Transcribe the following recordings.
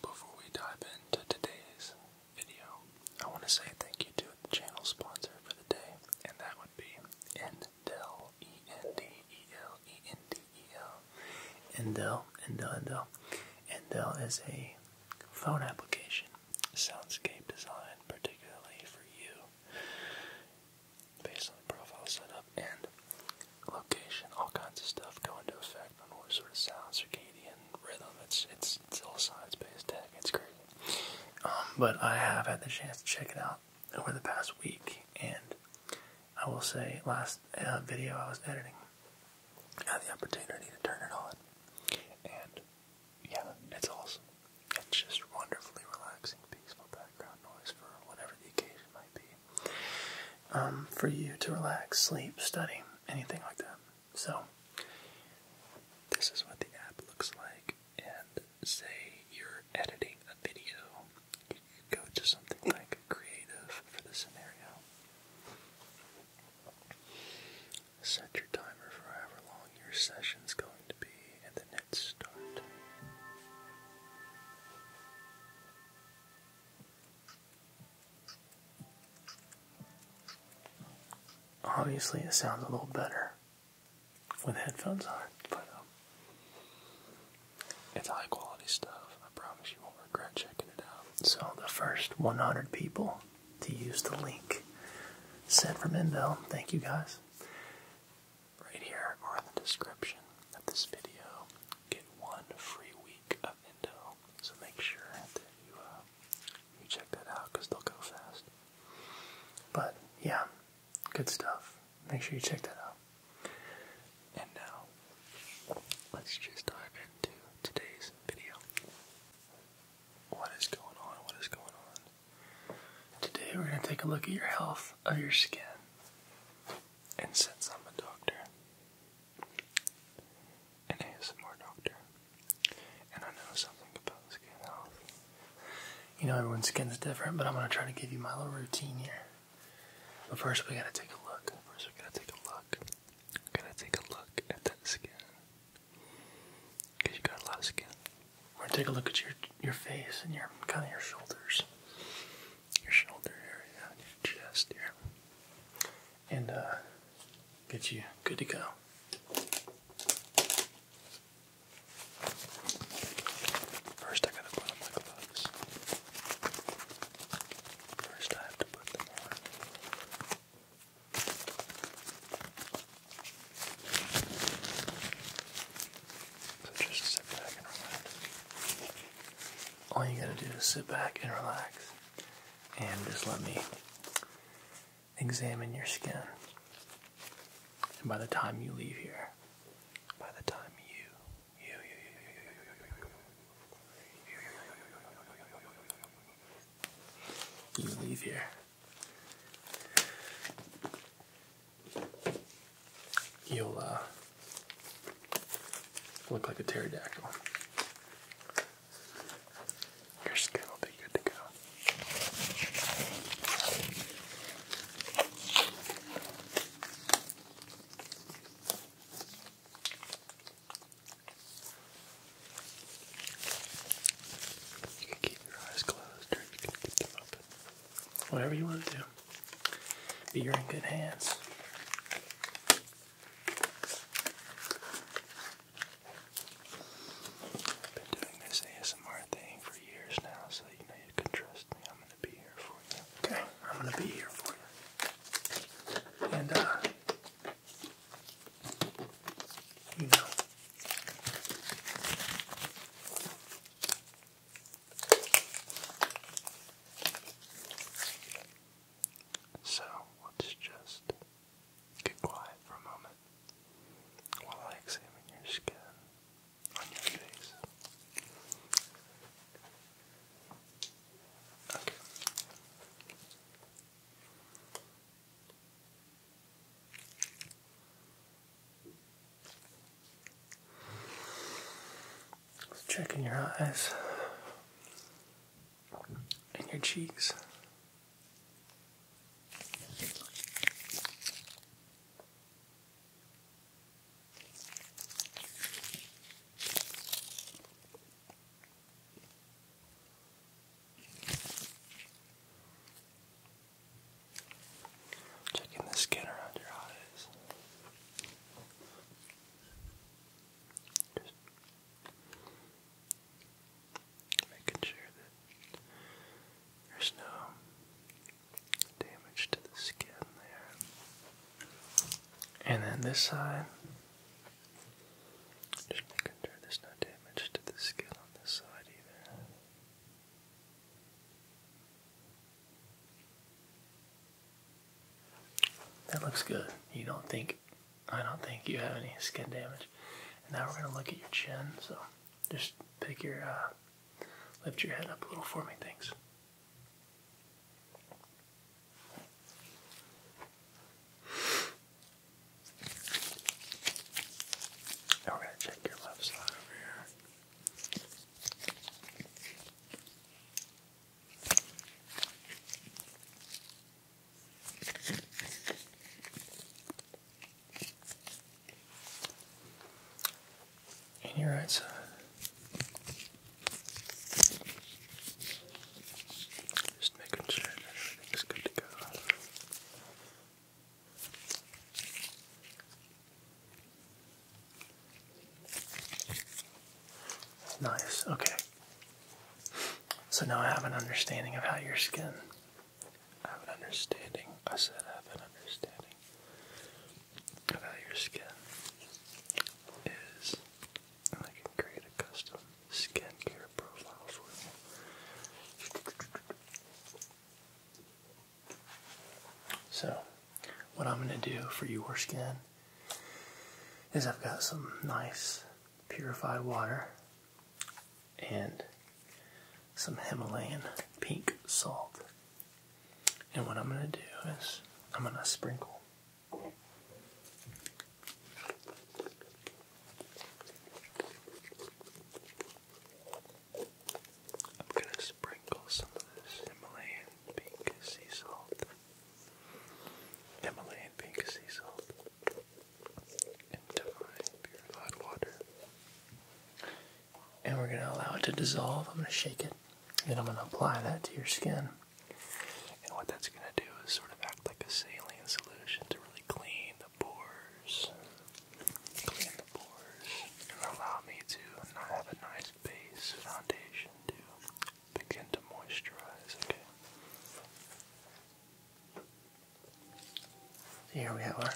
Before we dive into today's video, I want to say thank you to the channel sponsor for the day, and that would be Endel, E-N-D-E-L, E-N-D-E-L, Endel, Endel, Endel. Endel is a phone application, soundscape design, particularly for you, based on the profile setup, and location, all kinds of stuff go into effect on what sort of sound, circadian rhythm. It's it's, it's all science-based tech. It's crazy. Um, but I have had the chance to check it out over the past week, and I will say, last uh, video I was editing, I had the opportunity to turn it on, and yeah, it's awesome. It's just wonderfully relaxing, peaceful background noise for whatever the occasion might be. Um, for you to relax, sleep, study, anything like that. So, this is what the app looks like. And say you're editing a video, you could go to something like creative for the scenario. Set your timer for however long your session's going to be, and then hit start. Obviously, it sounds a little better with headphones on, but um, it's high quality stuff. I promise you won't regret checking it out. So, the first 100 people to use the link sent from Inbell, thank you guys. Right here or in the description of this video, get one free week of Indo. So make sure that you uh, you check that out because they'll go fast. But yeah, good stuff. Make sure you check that out. And now, let's just dive into today's video. What is going on? What is going on? Today we're going to take a look at your health of your skin. And since I'm a doctor, an ASMR doctor, and I know something about skin health. You know, everyone's skin's different, but I'm gonna try to give you my little routine here. But first, we gotta take a look. First, we gotta take a look. We are going to take a look at this skin. Cause you got a lot of skin. We're gonna take a look at your your face and your kind of your shoulders your shoulder area your chest here. And uh, get you good to go. First, I gotta put on my gloves. First, I to put them on. So just sit back and relax all you gotta do is sit back and relax and just let me examine your skin. And by the time you leave here, by the time you, you, you, you, you, you, you, you, you, you leave here, you'll, uh, Look like a pterodactyl. Your skin will be good to go. You can keep your eyes closed or you can keep them open. Whatever you want to do. But you're in good hands. I've been doing this ASMR thing for years now, so you know you can trust me. I'm gonna be here for you. Okay, I'm gonna be here for you. And uh you know so let's just get quiet for a moment while I examine your skin on your face. Okay checking your eyes and your cheeks. Checking the skin around your eyes. Just making sure that there's no damage to the skin there. And then this side. Just making sure there's no damage to the skin on this side either. That looks good. You don't think, I don't think you have any skin damage. now we're gonna look at your chin. So just pick your, uh, lift your head up a little for me. things. Now we're gonna check your left side over here. And your right side. Just making sure everything's good to go. Nice, okay. So now I have an understanding of how your skin. I have an understanding. I said I have an understanding of how your skin is. And I can create a custom skincare profile for you. So what I'm going to do for your skin is I've got some nice purified water and some Himalayan pink salt. And what I'm going to do is I'm going to sprinkle I'm going to sprinkle some of this Himalayan pink sea salt Himalayan pink sea salt, and purified water. And we're going to allow it to dissolve. I'm going to shake it, and I'm going to apply that to your skin. And what that's going to do is sort of act like a saline solution to really clean the pores. Clean the pores. And allow me to not have a nice base foundation to Again to moisturize, okay. Here we have our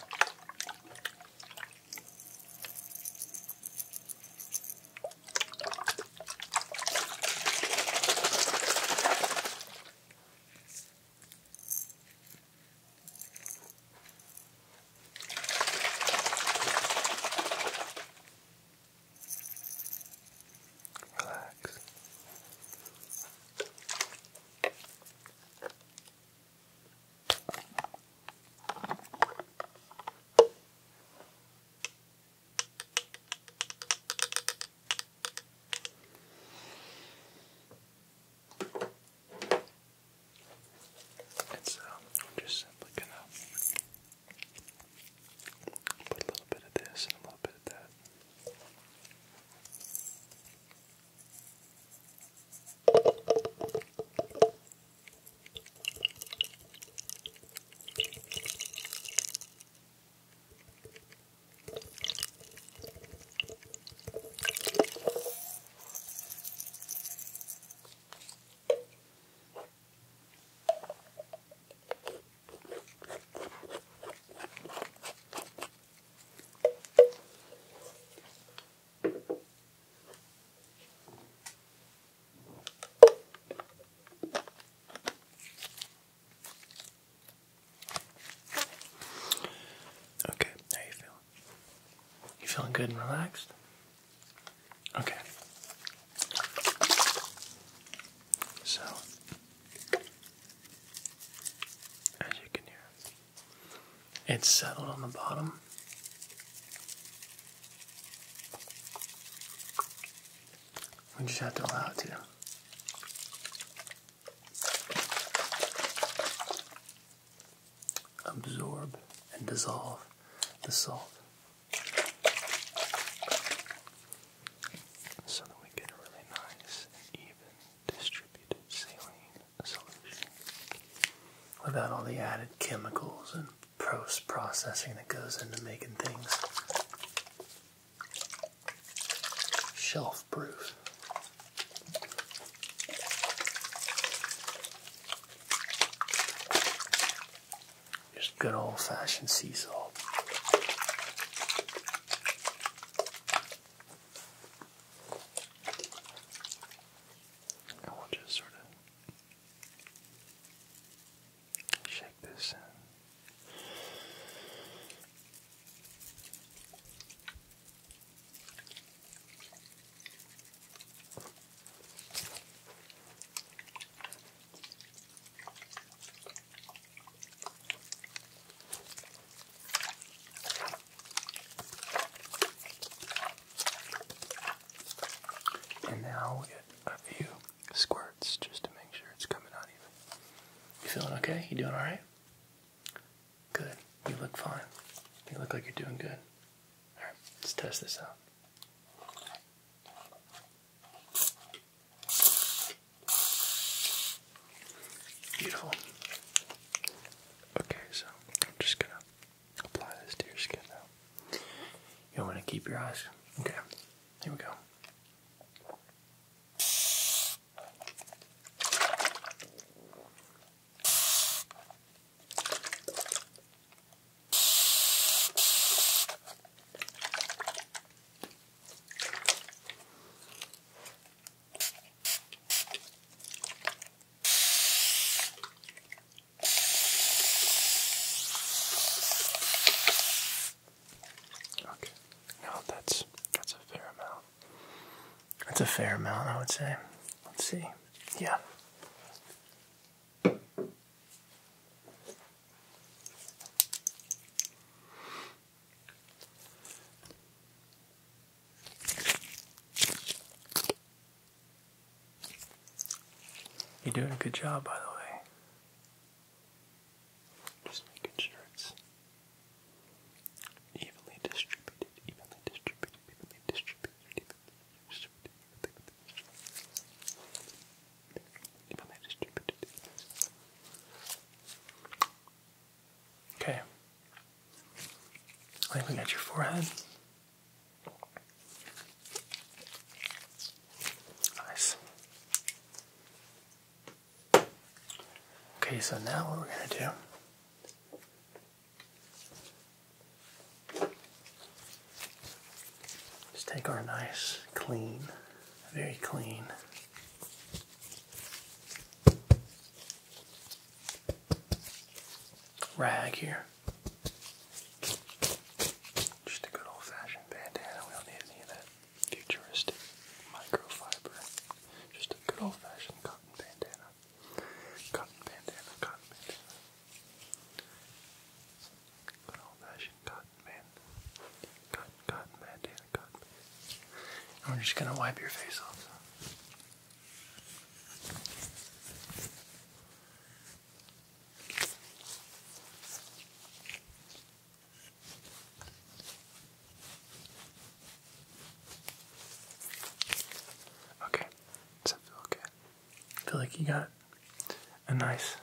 Relax. It's um, just simply going Put a little bit of this and a little bit of that. Okay, how you feeling? You feeling good and relaxed? Okay. So, as you can hear, it's settled on the bottom. We just have to allow it to. Absorb and dissolve the salt so that we get a really nice and even distributed saline solution without all the added chemicals and post processing that goes into making things shelf proof. Just good old fashioned sea salt. And will just sort of shake this and now get a few squirts just to make sure it's coming out even. You feeling okay? You doing alright? Good. You look fine. You look like you're doing good. Alright, let's test this out. Beautiful. Okay, so I'm just gonna apply this to your skin now. You want to keep your eyes. Okay, here we go. Okay. No, that's that's a fair amount. That's a fair amount, I would say. Let's see. Yeah. You're doing a good job, by the way. Just making sure it's evenly distributed, evenly distributed, evenly distributed, Okay. I think we got your forehead. Nice. Okay, so now what we're gonna do just take our nice, clean, very clean rag here. Just a good old fashioned bandana. We don't need any of that futuristic microfiber. Just a good old fashioned cotton bandana. Cotton bandana, cotton bandana. Good old fashioned cotton man. Cotton, cotton man, Dana, cotton man. And we just going to wipe your face off. Okay, does that feel okay? I feel like you got a nice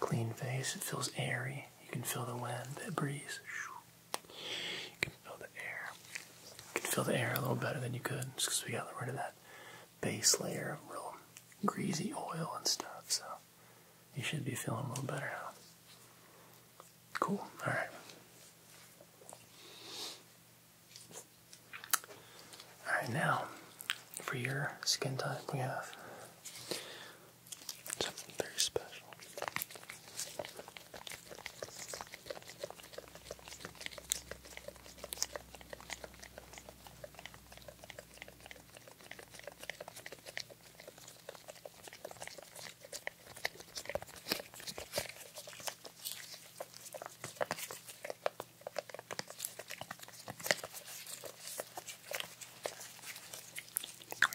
clean face. It feels airy. You can feel the wind, the breeze. You can feel the air. You can feel the air a little better than you could just because we got rid of that base layer of real greasy oil and stuff. So you should be feeling a little better now. Cool. All right. Alright, now for your skin type, we have something very special.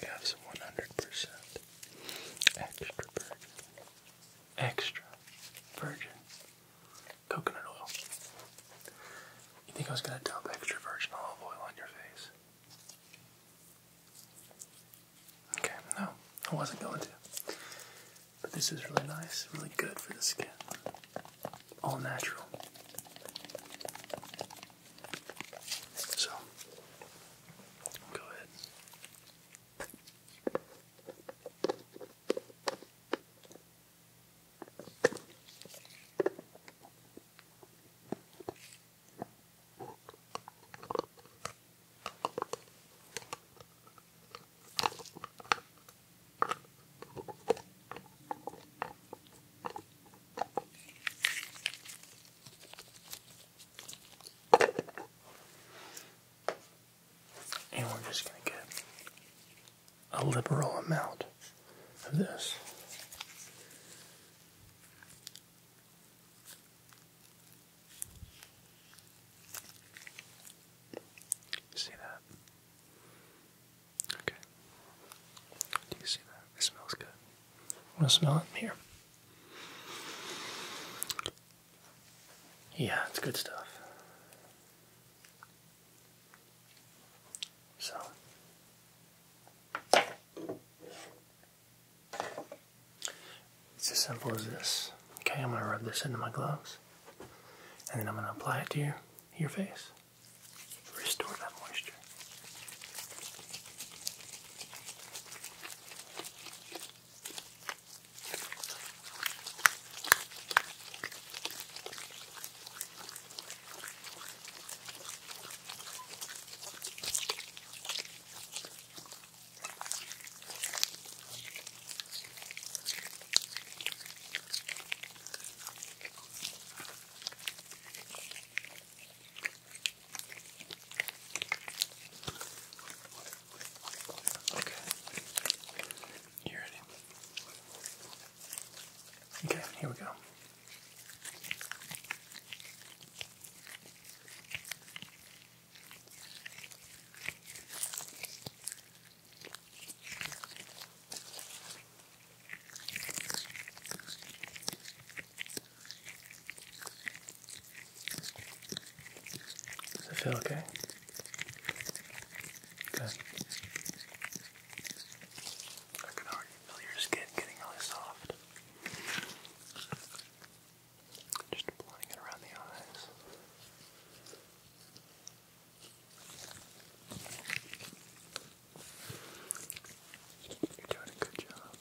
We have some 100% extra virgin. Extra virgin coconut oil. You think I was going to dump extra virgin olive oil on your face? Okay, no, I wasn't going to. But this is really nice, really good for the skin. All natural. So, go ahead. And we're just going to get a liberal amount of this. See that? Okay. Do you see that? It smells good. I want to smell it here. Yeah, it's good stuff. So. It's as simple as this. Okay, I'm gonna rub this into my gloves. And then I'm going to apply it to your, your face. Restore that moisture. Okay. You ready? Okay, here we go. Does it feel okay? Good. I can already feel your skin getting really soft. Just blowing it around the eyes. You're doing a good job.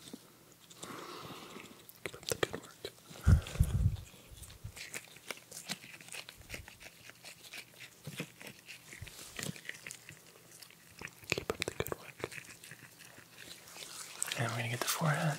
Keep up the good work. Keep up the good work. And we're gonna get the forehead.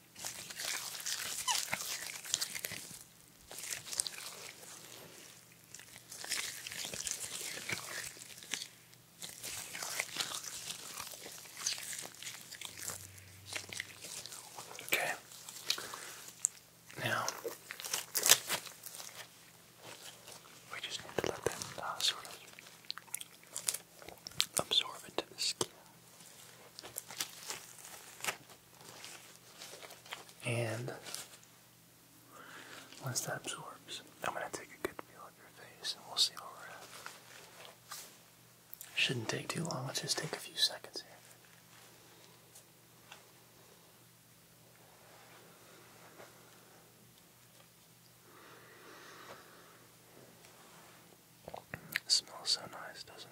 Okay. Now we just need to let them uh, sort of absorb skin. And once that absorbs, I'm going to take a good feel of your face and we'll see where we're at. Shouldn't take too long, let's just take a few seconds here smells so nice, doesn't it?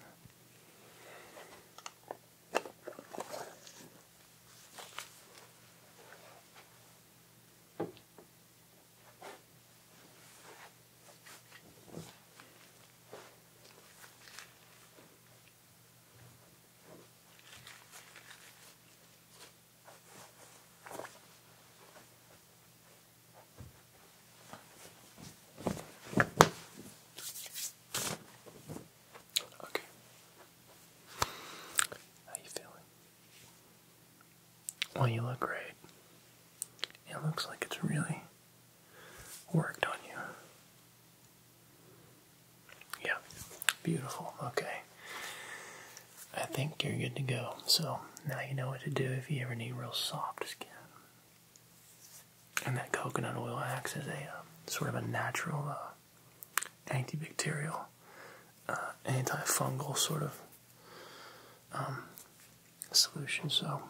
Okay. How you feeling? Well, you look great. It looks like it's really worked on you. Yeah, beautiful. Okay. I think you're good to go. So now you know what to do if you ever need real soft skin. And that coconut oil acts as a um, sort of a natural uh, antibacterial, uh, antifungal sort of um, solution. So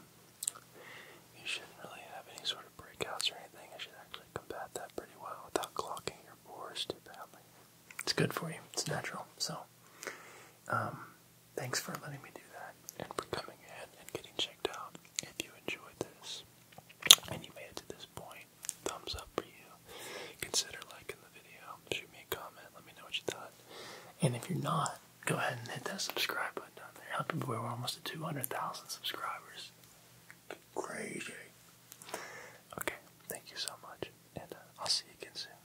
you shouldn't really have any sort of breakouts or anything. It should actually combat that pretty well without clogging your pores too badly. It's good for you. It's natural. So. Um, Thanks for letting me do that and for coming in and getting checked out. If you enjoyed this and you made it to this point, thumbs up for you. Consider liking the video. Shoot me a comment. Let me know what you thought. And if you're not, go ahead and hit that subscribe button down there. Help your boy. We're almost at 200,000 subscribers. Crazy. Okay. Thank you so much. And uh, I'll see you again soon.